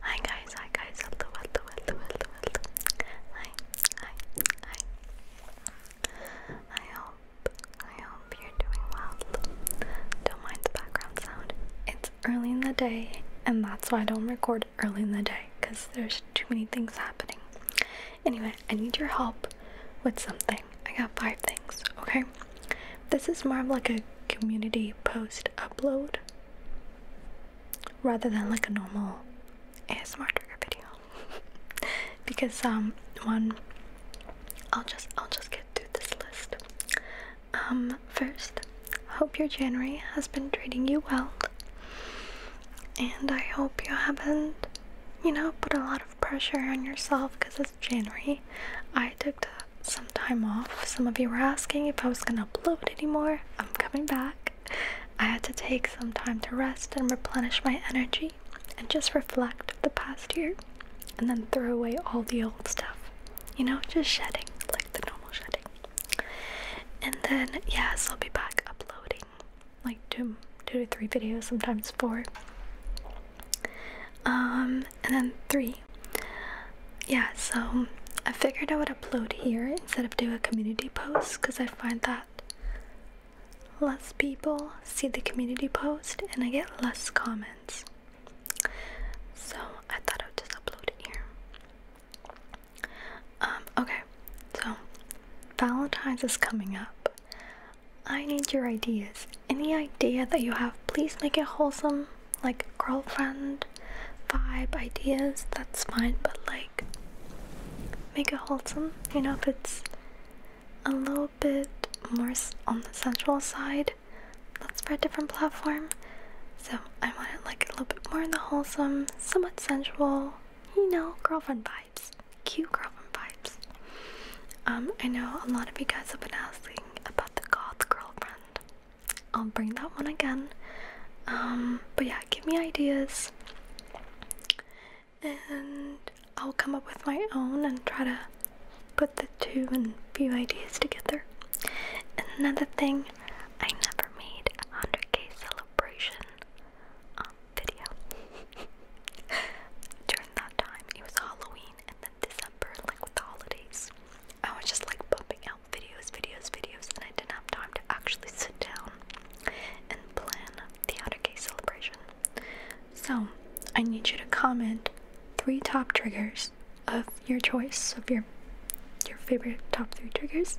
Hi guys, hi guys, Hi, hi, hi. I hope, I hope you're doing well. Don't mind the background sound. It's early in the day, and that's why I don't record early in the day, because there's too many things happening. Anyway, I need your help with something. I got five things, okay? This is more of like a community post upload rather than like a normal ASMR trigger video. because um one I'll just I'll just get through this list. Um first, hope your January has been treating you well. And I hope you haven't you know, put a lot of pressure on yourself because it's January. I took some time off. Some of you were asking if I was gonna upload anymore. I'm coming back. I had to take some time to rest and replenish my energy and just reflect the past year and then throw away all the old stuff. You know, just shedding, like the normal shedding. And then, yes, I'll be back uploading like two two to three videos, sometimes four. Um, and then three. Yeah, so I figured I would upload here instead of do a community post because I find that less people see the community post and I get less comments. So I thought I would just upload it here. Um, okay, so Valentine's is coming up. I need your ideas. Any idea that you have, please make it wholesome, like girlfriend vibe ideas, that's fine, but like make it wholesome, you know, if it's a little bit more on the sensual side, that's for a different platform. So I want it like a little bit more in the wholesome, somewhat sensual, you know, girlfriend vibes. Cute girlfriend vibes. Um, I know a lot of you guys have been asking about the goth girlfriend. I'll bring that one again. Um, but yeah, give me ideas. And I'll come up with my own and try to put the two and few ideas together. And another thing, I never made a 100k celebration um, video. During that time, it was Halloween and then December, like with the holidays. I was just like pumping out videos, videos, videos, and I didn't have time to actually sit down and plan the 100k celebration. So, I need you to comment three top triggers of your choice of your your favorite top three triggers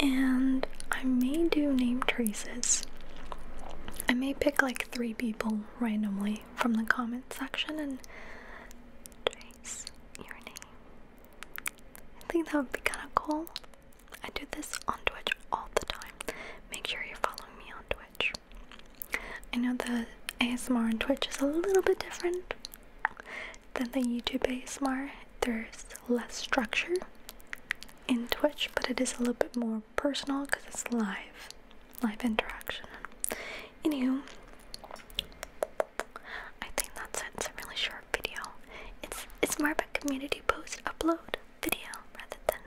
and i may do name traces i may pick like three people randomly from the comment section and trace your name i think that would be kind of cool i do this on twitch all the time make sure you're following me on Twitch. I know the ASMR on Twitch is a little bit different than the YouTube ASMR. There's less structure in Twitch, but it is a little bit more personal because it's live, live interaction. Anywho, I think that's it. It's a really short video. It's it's more about community post upload video rather than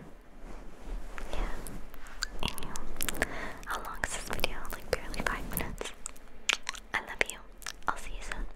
yeah. how long is this video? Like barely five minutes. I love you. I'll see you soon.